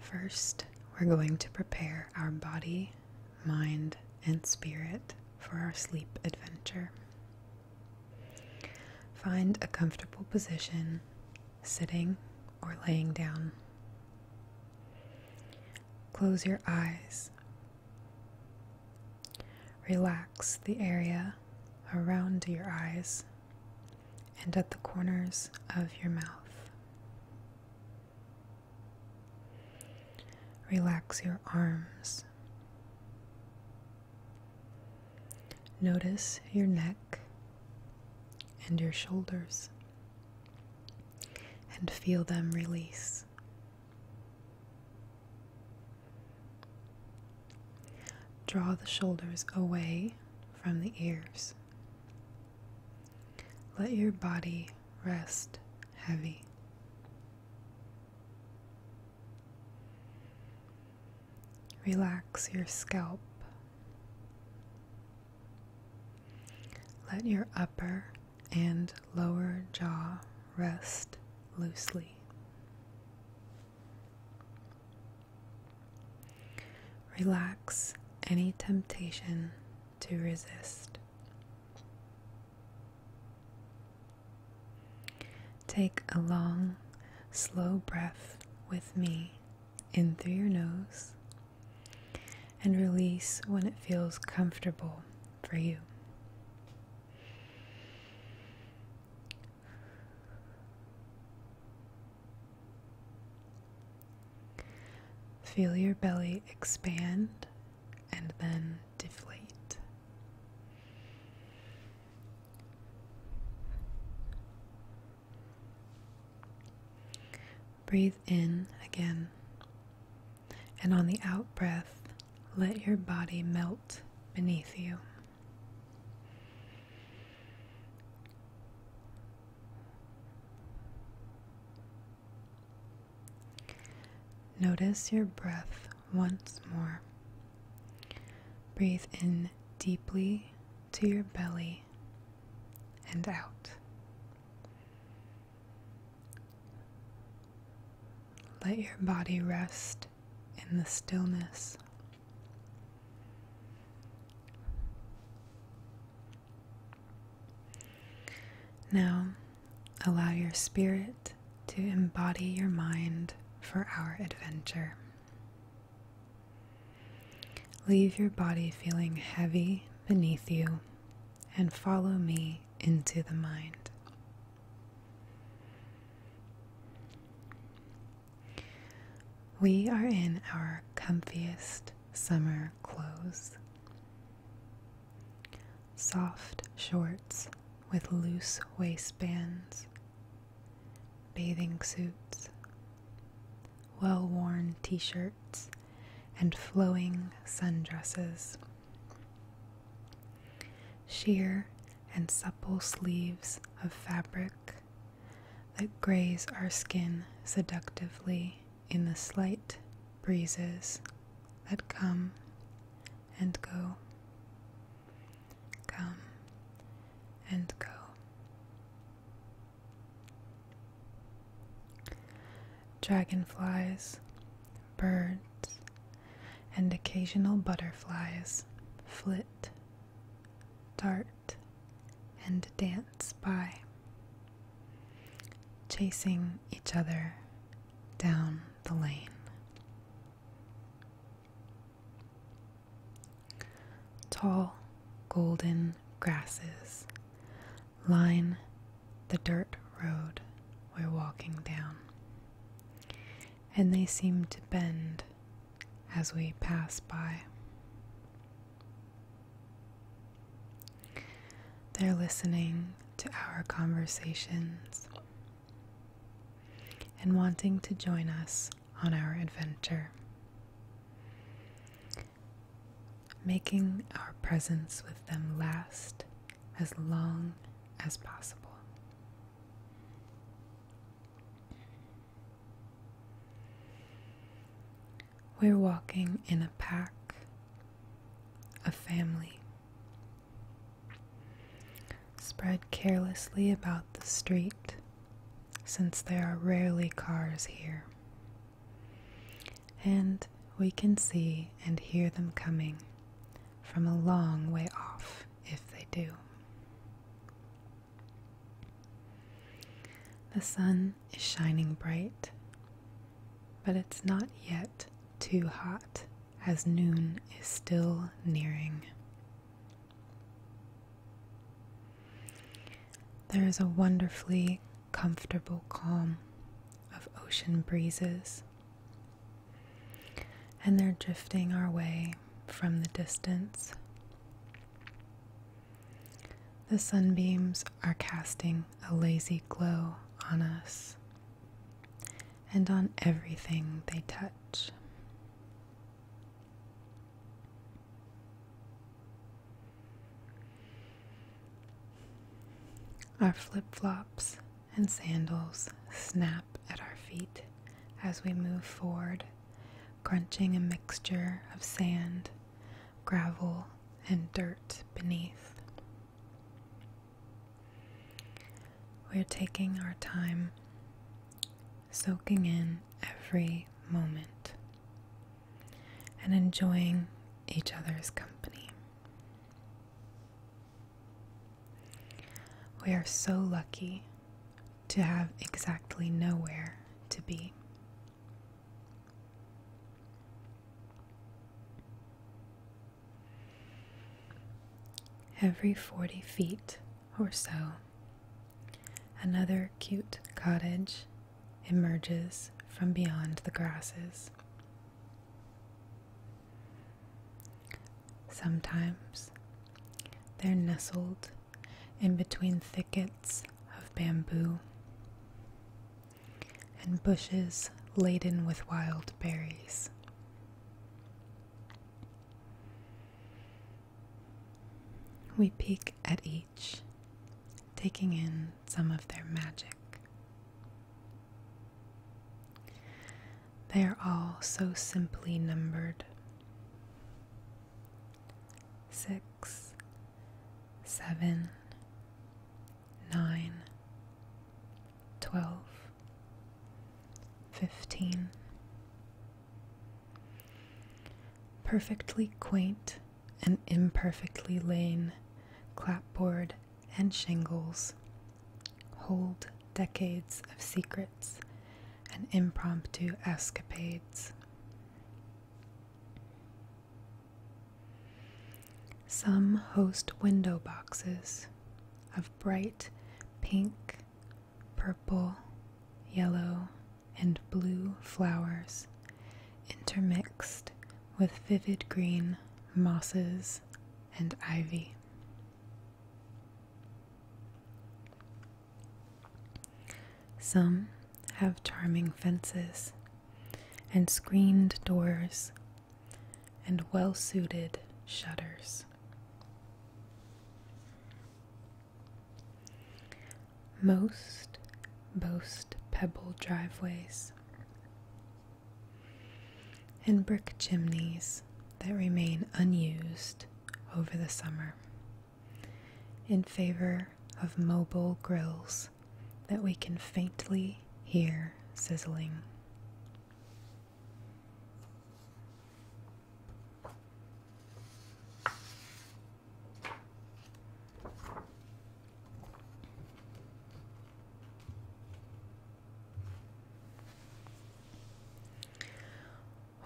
First, we're going to prepare our body, mind, and spirit for our sleep adventure. Find a comfortable position, sitting or laying down. Close your eyes. Relax the area around your eyes and at the corners of your mouth. Relax your arms. Notice your neck and your shoulders and feel them release. Draw the shoulders away from the ears. Let your body rest heavy. Relax your scalp. Let your upper and lower jaw rest loosely. Relax any temptation to resist. Take a long, slow breath with me in through your nose and release when it feels comfortable for you. Feel your belly expand and then deflate. Breathe in again, and on the out breath, let your body melt beneath you. Notice your breath once more. Breathe in deeply to your belly and out. Let your body rest in the stillness. Now, allow your spirit to embody your mind for our adventure. Leave your body feeling heavy beneath you and follow me into the mind. We are in our comfiest summer clothes. Soft shorts with loose waistbands, bathing suits, well worn t shirts, and flowing sundresses. Sheer and supple sleeves of fabric that graze our skin seductively in the slight breezes that come and go, come and go. Dragonflies, birds, and occasional butterflies flit, dart, and dance by, chasing each other down the lane. Tall golden grasses line the dirt road we're walking down, and they seem to bend as we pass by. They're listening to our conversations and wanting to join us on our adventure, making our presence with them last as long as possible. We're walking in a pack, a family, spread carelessly about the street, since there are rarely cars here. And we can see and hear them coming from a long way off, if they do. The sun is shining bright, but it's not yet too hot as noon is still nearing. There is a wonderfully comfortable calm of ocean breezes, and they're drifting our way from the distance. The sunbeams are casting a lazy glow on us and on everything they touch. Our flip flops and sandals snap at our feet as we move forward, crunching a mixture of sand gravel, and dirt beneath. We're taking our time, soaking in every moment, and enjoying each other's company. We are so lucky to have exactly nowhere to be. Every 40 feet or so, another cute cottage emerges from beyond the grasses. Sometimes they're nestled in between thickets of bamboo and bushes laden with wild berries. We peek at each, taking in some of their magic. They are all so simply numbered six, seven, nine, twelve, fifteen. Perfectly quaint and imperfectly lane, clapboard and shingles hold decades of secrets and impromptu escapades. Some host window boxes of bright pink, purple, yellow, and blue flowers intermixed with vivid green mosses and ivy. Some have charming fences and screened doors and well suited shutters. Most boast pebble driveways and brick chimneys that remain unused over the summer in favor of mobile grills that we can faintly hear sizzling.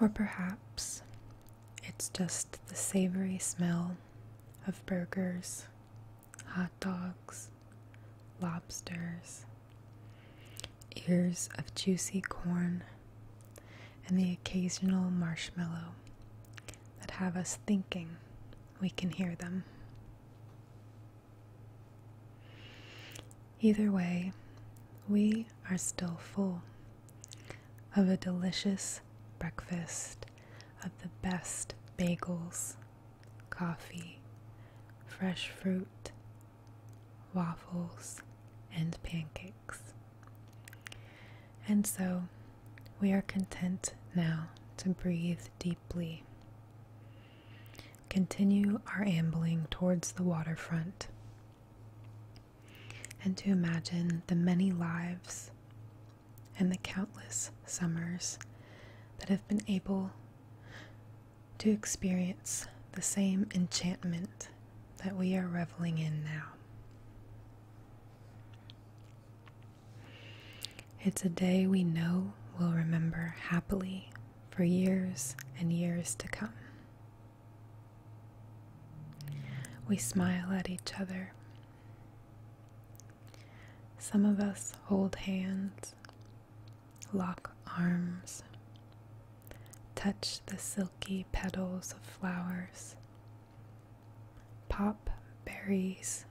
Or perhaps it's just the savory smell of burgers hot dogs, lobsters, ears of juicy corn, and the occasional marshmallow that have us thinking we can hear them. Either way, we are still full of a delicious breakfast of the best bagels, coffee, fresh fruit, waffles, and pancakes. And so we are content now to breathe deeply. Continue our ambling towards the waterfront and to imagine the many lives, and the countless summers that have been able to experience the same enchantment that we are reveling in now. It's a day we know we'll remember happily for years and years to come. We smile at each other. Some of us hold hands, lock arms, touch the silky petals of flowers, pop berries,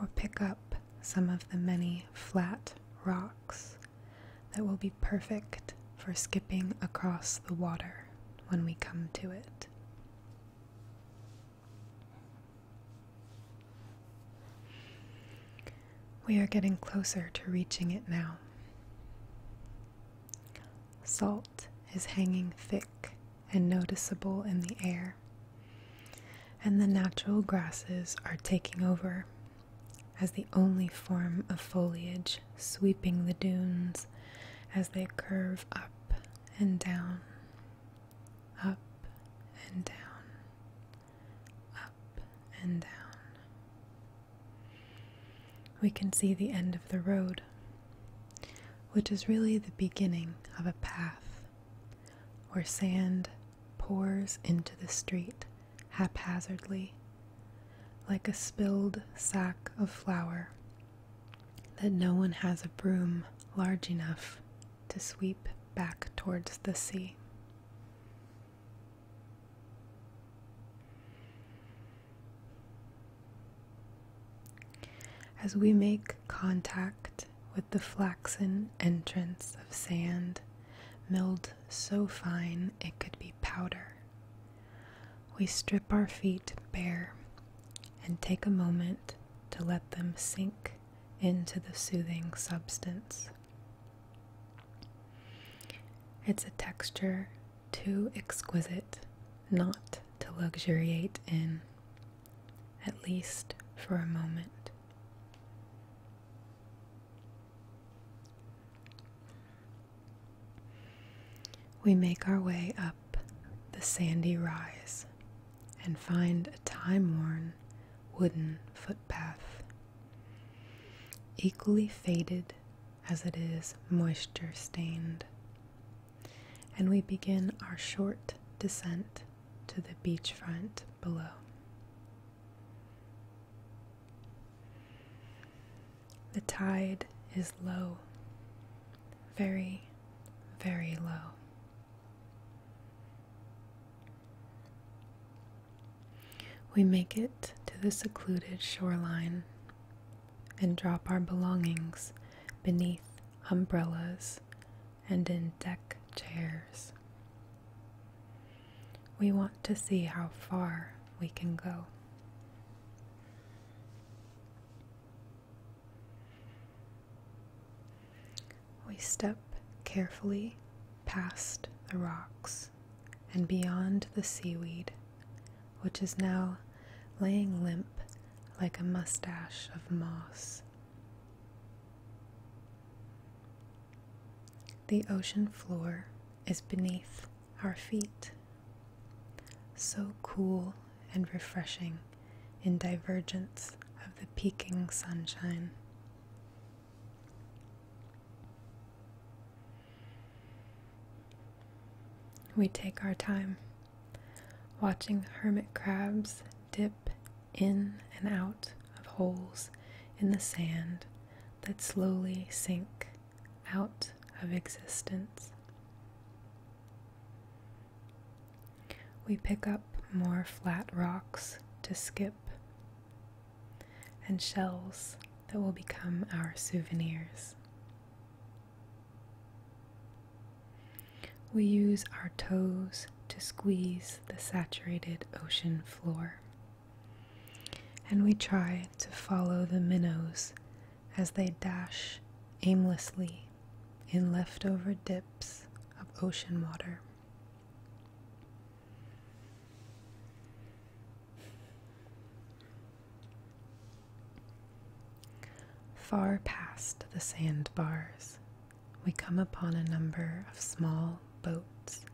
or pick up some of the many flat rocks that will be perfect for skipping across the water when we come to it. We are getting closer to reaching it now. Salt is hanging thick and noticeable in the air, and the natural grasses are taking over as the only form of foliage sweeping the dunes as they curve up and down up and down, up and down. We can see the end of the road, which is really the beginning of a path where sand pours into the street haphazardly, like a spilled sack of flour that no one has a broom large enough to sweep back towards the sea. As we make contact with the flaxen entrance of sand, milled so fine it could be powder, we strip our feet bare and take a moment to let them sink into the soothing substance. It's a texture too exquisite not to luxuriate in, at least for a moment. We make our way up the sandy rise and find a time worn wooden footpath. Equally faded as it is moisture stained. And we begin our short descent to the beachfront below. The tide is low, very, very low. We make it to the secluded shoreline and drop our belongings beneath umbrellas and in deck chairs. We want to see how far we can go. We step carefully past the rocks and beyond the seaweed, which is now laying limp like a mustache of moss. The ocean floor is beneath our feet, so cool and refreshing in divergence of the peaking sunshine. We take our time watching hermit crabs dip in and out of holes in the sand that slowly sink out of existence. We pick up more flat rocks to skip and shells that will become our souvenirs. We use our toes to squeeze the saturated ocean floor. And we try to follow the minnows as they dash aimlessly in leftover dips of ocean water. Far past the sandbars, we come upon a number of small boats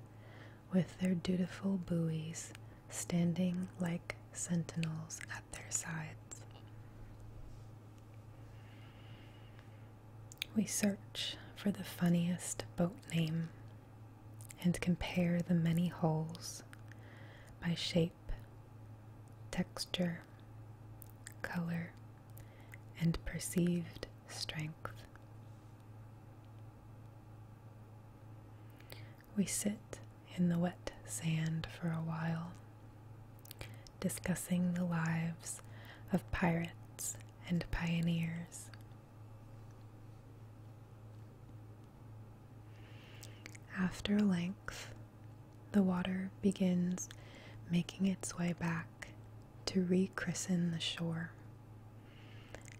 with their dutiful buoys standing like sentinels at their sides. We search for the funniest boat name and compare the many holes by shape, texture, color, and perceived strength. We sit in the wet sand for a while discussing the lives of pirates and pioneers. After length, the water begins making its way back to rechristen the shore.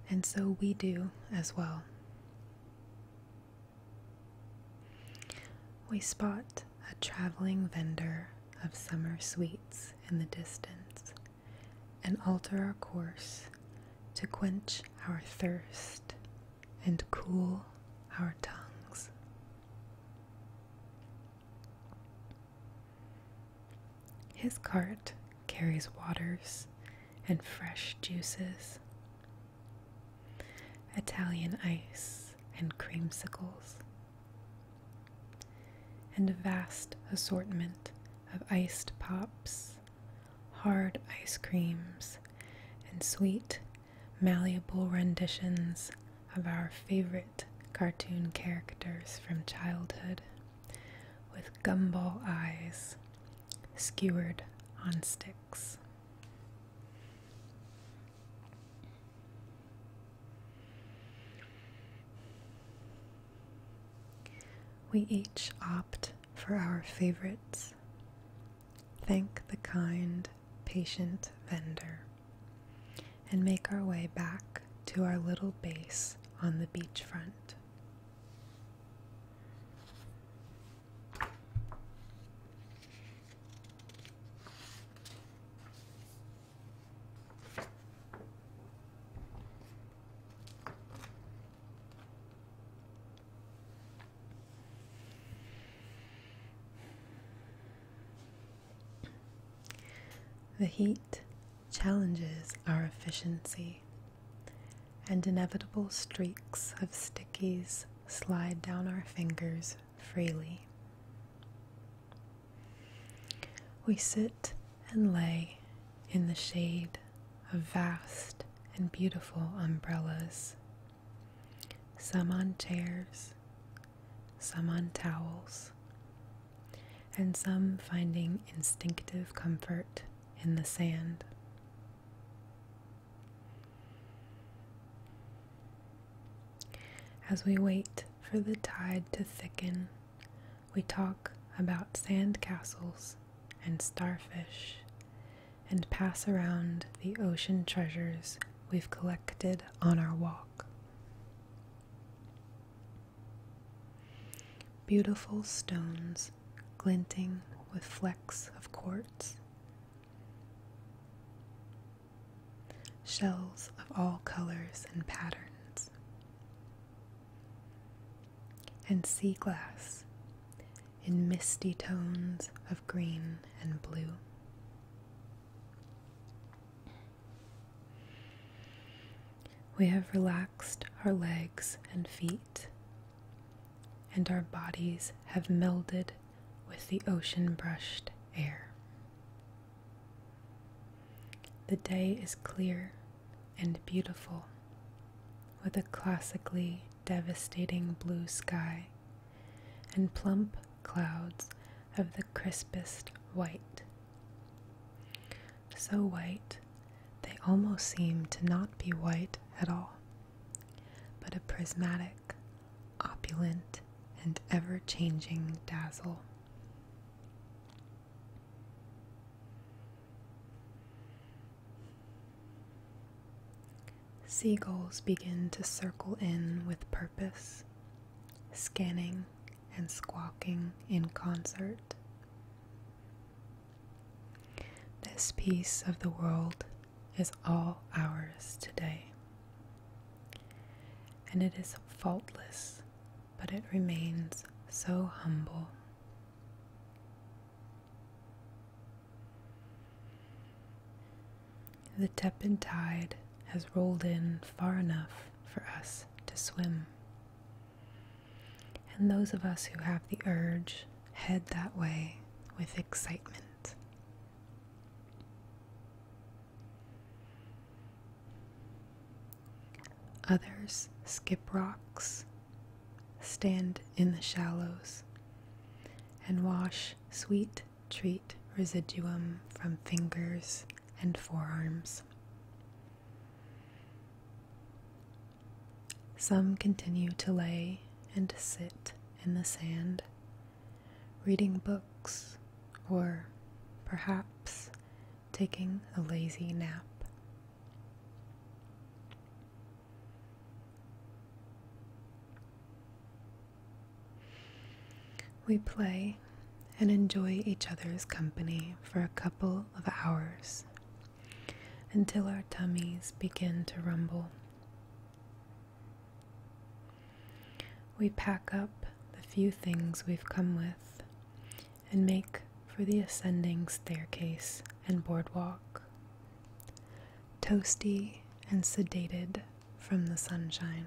And so we do as well. We spot a traveling vendor of summer sweets in the distance, and alter our course to quench our thirst and cool our tongues. His cart carries waters and fresh juices, Italian ice and creamsicles and a vast assortment of iced pops, hard ice creams, and sweet, malleable renditions of our favorite cartoon characters from childhood with gumball eyes skewered on sticks. We each opt for our favorites. Thank the kind, patient vendor and make our way back to our little base on the beachfront. The heat challenges our efficiency, and inevitable streaks of stickies slide down our fingers freely. We sit and lay in the shade of vast and beautiful umbrellas, some on chairs, some on towels, and some finding instinctive comfort in the sand. As we wait for the tide to thicken, we talk about sand castles and starfish and pass around the ocean treasures we've collected on our walk. Beautiful stones glinting with flecks of quartz shells of all colors and patterns, and sea glass in misty tones of green and blue. We have relaxed our legs and feet, and our bodies have melded with the ocean brushed air. The day is clear and beautiful, with a classically devastating blue sky and plump clouds of the crispest white. So white, they almost seem to not be white at all, but a prismatic opulent and ever changing dazzle. Seagulls begin to circle in with purpose, scanning and squawking in concert. This piece of the world is all ours today and it is faultless, but it remains so humble. The tepid tide has rolled in far enough for us to swim. And those of us who have the urge head that way with excitement. Others skip rocks, stand in the shallows, and wash sweet treat residuum from fingers and forearms. Some continue to lay and sit in the sand, reading books, or perhaps taking a lazy nap. We play and enjoy each other's company for a couple of hours until our tummies begin to rumble. We pack up the few things we've come with and make for the ascending staircase and boardwalk. Toasty and sedated from the sunshine.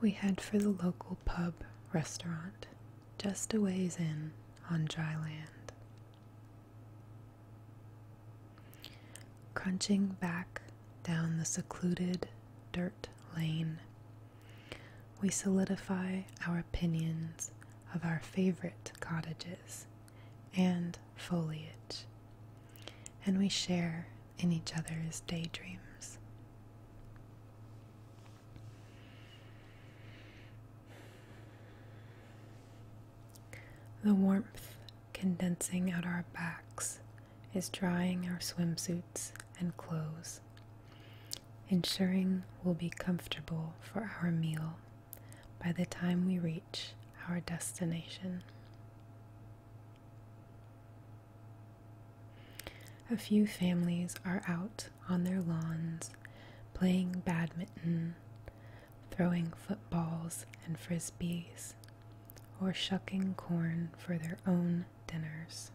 We head for the local pub restaurant just a ways in on dry land. Crunching back down the secluded dirt lane, we solidify our opinions of our favorite cottages and foliage, and we share in each other's daydreams. The warmth condensing out our backs is drying our swimsuits and clothes, ensuring we'll be comfortable for our meal by the time we reach our destination. A few families are out on their lawns playing badminton throwing footballs and frisbees, or shucking corn for their own dinners.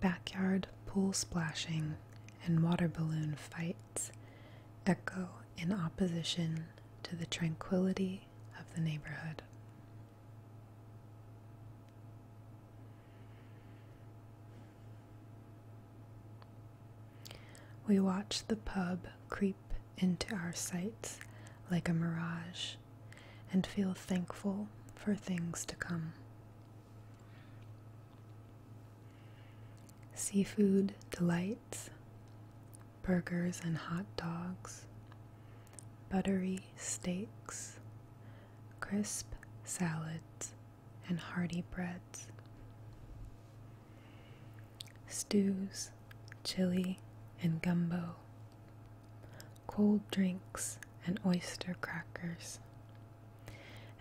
Backyard pool splashing and water balloon fights echo in opposition to the tranquility of the neighborhood. We watch the pub creep into our sights like a mirage and feel thankful for things to come. Seafood delights, burgers and hot dogs, buttery steaks, crisp salads, and hearty breads. Stews, chili, and gumbo, cold drinks and oyster crackers,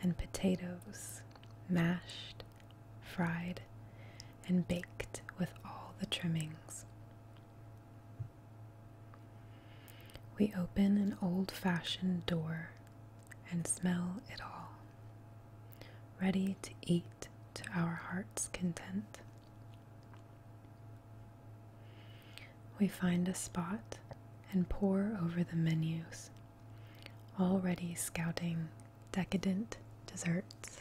and potatoes mashed, fried, and baked with all the trimmings. We open an old fashioned door and smell it all, ready to eat to our heart's content. We find a spot and pore over the menus, already scouting decadent desserts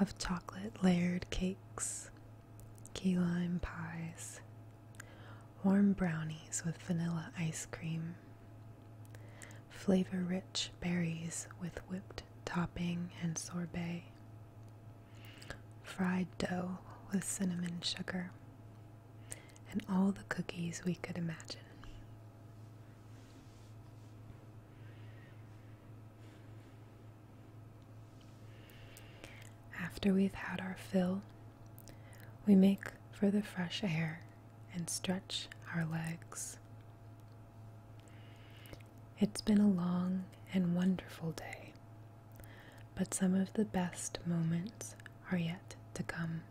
of chocolate layered cakes, key lime pies, Warm brownies with vanilla ice cream. Flavor rich berries with whipped topping and sorbet. Fried dough with cinnamon sugar. And all the cookies we could imagine. After we've had our fill, we make for the fresh air and stretch our legs. It's been a long and wonderful day, but some of the best moments are yet to come.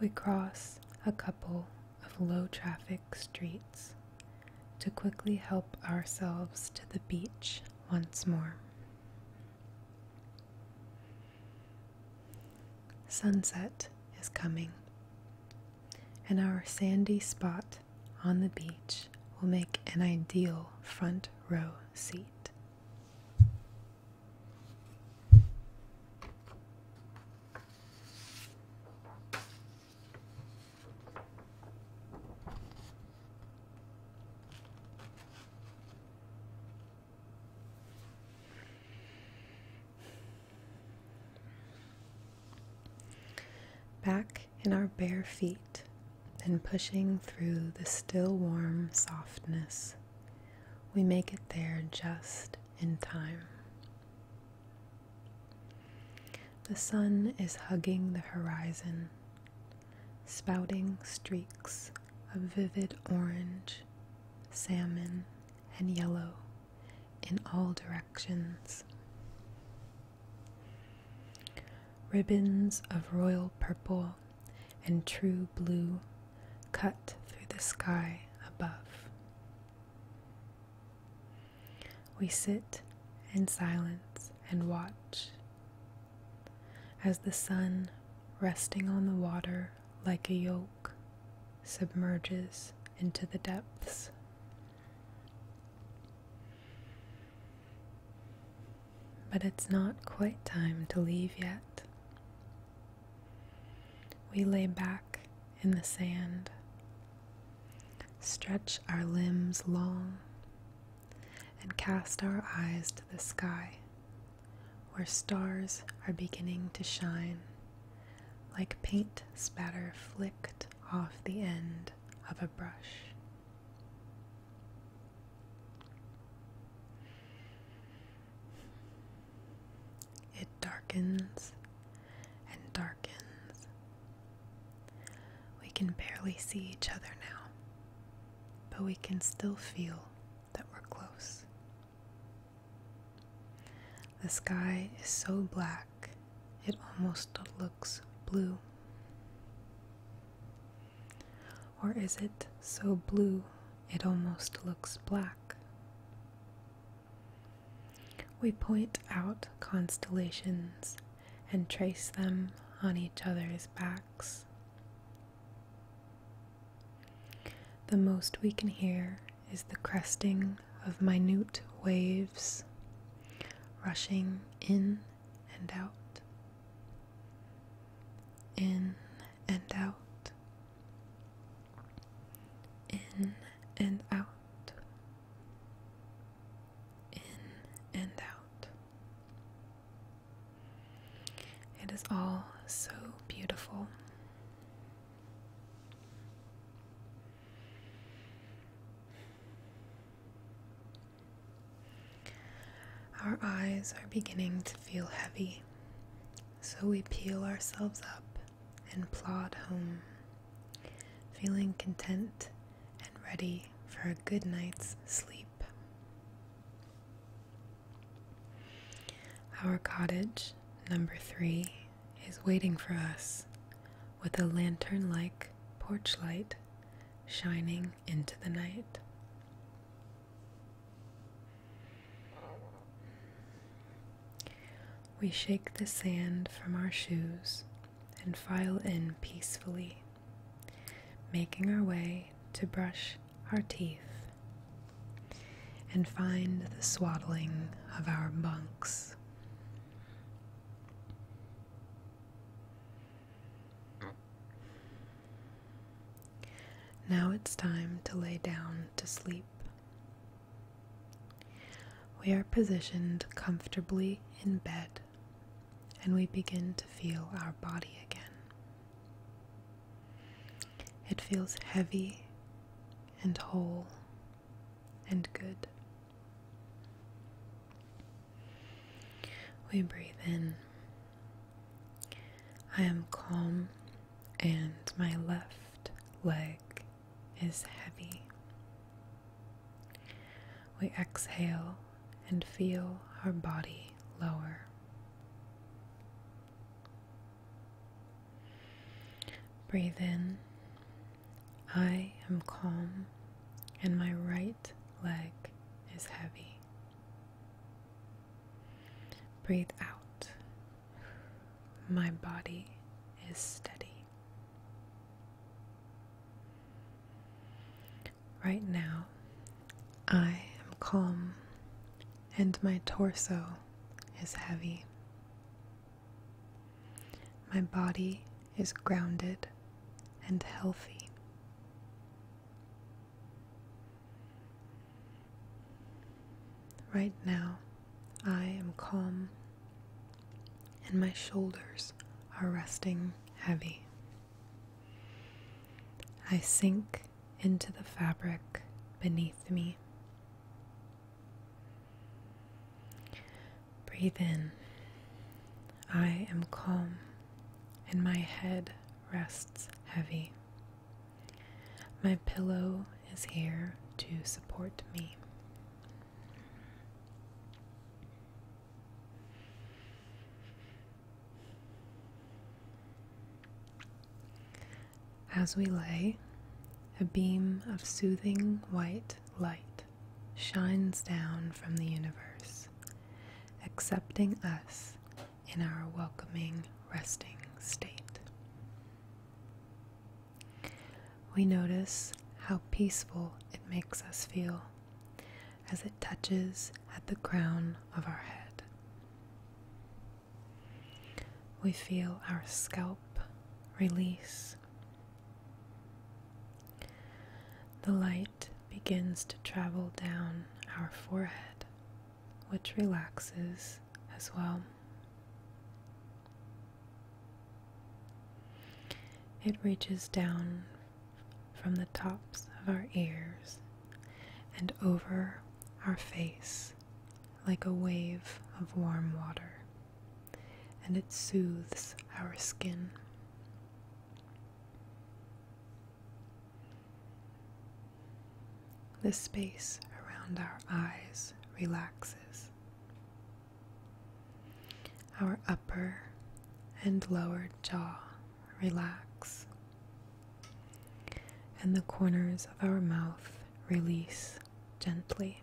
We cross a couple of low traffic streets to quickly help ourselves to the beach once more. Sunset is coming, and our sandy spot on the beach will make an ideal front row seat. Back in our bare feet and pushing through the still warm softness, we make it there just in time. The sun is hugging the horizon, spouting streaks of vivid orange, salmon, and yellow in all directions. Ribbons of royal purple and true blue cut through the sky above. We sit in silence and watch as the sun, resting on the water like a yoke, submerges into the depths. But it's not quite time to leave yet. We lay back in the sand, stretch our limbs long, and cast our eyes to the sky, where stars are beginning to shine, like paint spatter flicked off the end of a brush. It darkens and darkens. We can barely see each other now but we can still feel that we're close. The sky is so black it almost looks blue. Or is it so blue it almost looks black? We point out constellations and trace them on each other's backs. The most we can hear is the cresting of minute waves rushing in and out, in and out, in and out, in and out. It is all so beautiful. Our eyes are beginning to feel heavy, so we peel ourselves up and plod home, feeling content and ready for a good night's sleep. Our cottage, number three, is waiting for us with a lantern like porch light shining into the night. We shake the sand from our shoes and file in peacefully making our way to brush our teeth and find the swaddling of our bunks. Now it's time to lay down to sleep. We are positioned comfortably in bed and we begin to feel our body again. It feels heavy and whole and good. We breathe in. I am calm and my left leg is heavy. We exhale and feel our body lower. Breathe in. I am calm and my right leg is heavy. Breathe out. My body is steady. Right now, I am calm and my torso is heavy. My body is grounded and healthy. Right now, I am calm and my shoulders are resting heavy. I sink into the fabric beneath me. Breathe in. I am calm and my head rests heavy. My pillow is here to support me. As we lay, a beam of soothing white light shines down from the universe, accepting us in our welcoming resting state. We notice how peaceful it makes us feel as it touches at the crown of our head. We feel our scalp release. The light begins to travel down our forehead, which relaxes as well. It reaches down from the tops of our ears and over our face like a wave of warm water, and it soothes our skin. The space around our eyes relaxes. Our upper and lower jaw relax, and the corners of our mouth release gently.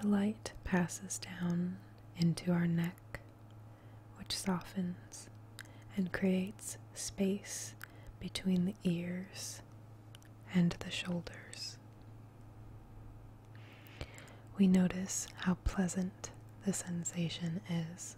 The light passes down into our neck, which softens and creates space between the ears and the shoulders. We notice how pleasant the sensation is.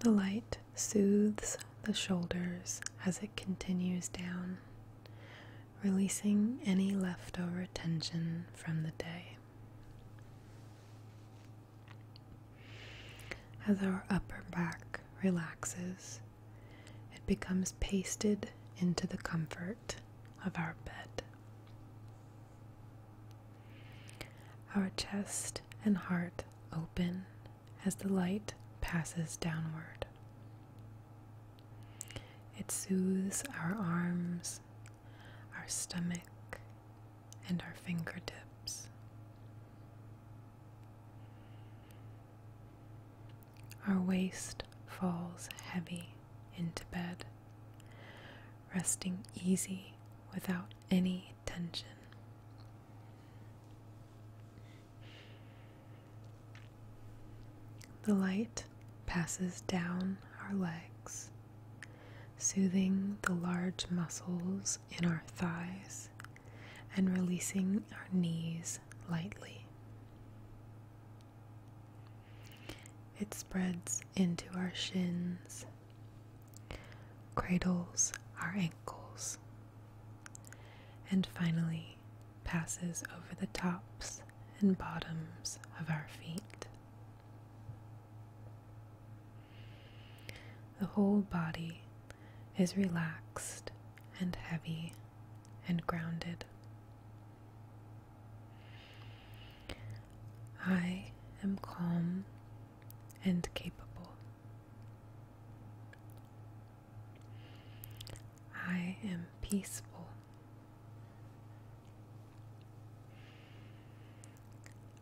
The light soothes the shoulders as it continues down, releasing any leftover tension from the day. As our upper back relaxes, it becomes pasted into the comfort of our bed. Our chest and heart open as the light passes downward. It soothes our arms, our stomach, and our fingertips. Our waist falls heavy into bed, resting easy without any tension. The light passes down our legs, soothing the large muscles in our thighs and releasing our knees lightly. It spreads into our shins, cradles our ankles, and finally passes over the tops and bottoms of our feet. The whole body is relaxed and heavy and grounded. I am calm and capable. I am peaceful.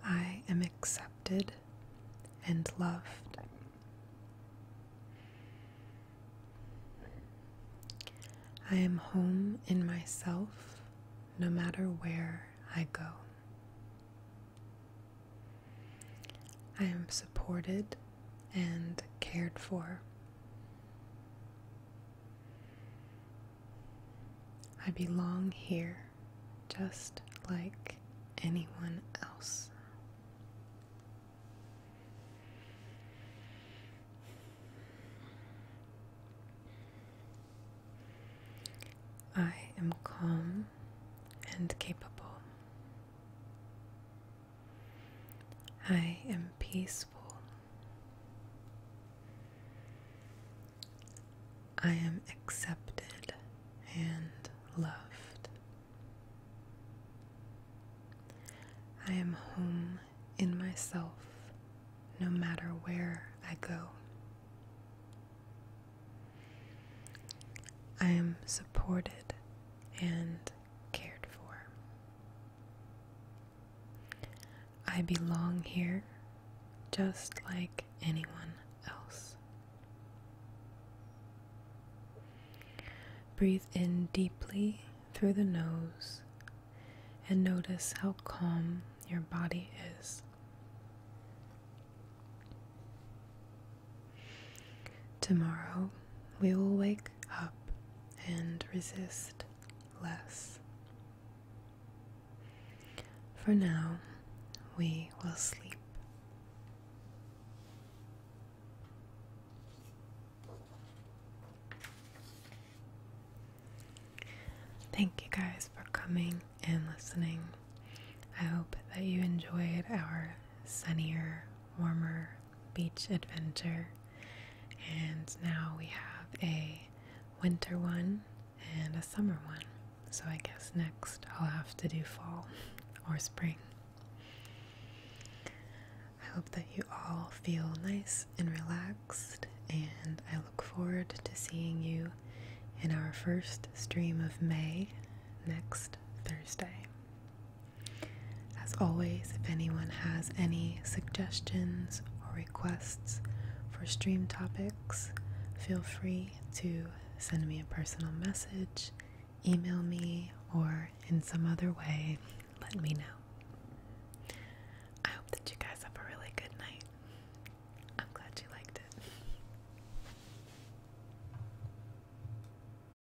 I am accepted and loved. I am home in myself no matter where I go. I am supported and cared for. I belong here just like anyone else. I am calm and capable. I am peaceful. I am accepted and loved. I am home in myself no matter where I go. I am supported and cared for. I belong here just like anyone else. Breathe in deeply through the nose and notice how calm your body is. Tomorrow we will wake up and resist less. For now, we will sleep. Thank you guys for coming and listening. I hope that you enjoyed our sunnier, warmer beach adventure. And now we have a winter one and a summer one. So I guess next I'll have to do fall or spring. I hope that you all feel nice and relaxed, and I look forward to seeing you in our first stream of May next Thursday. As always, if anyone has any suggestions or requests for stream topics, feel free to send me a personal message, email me, or in some other way, let me know. I hope that you guys have a really good night. I'm glad you liked it.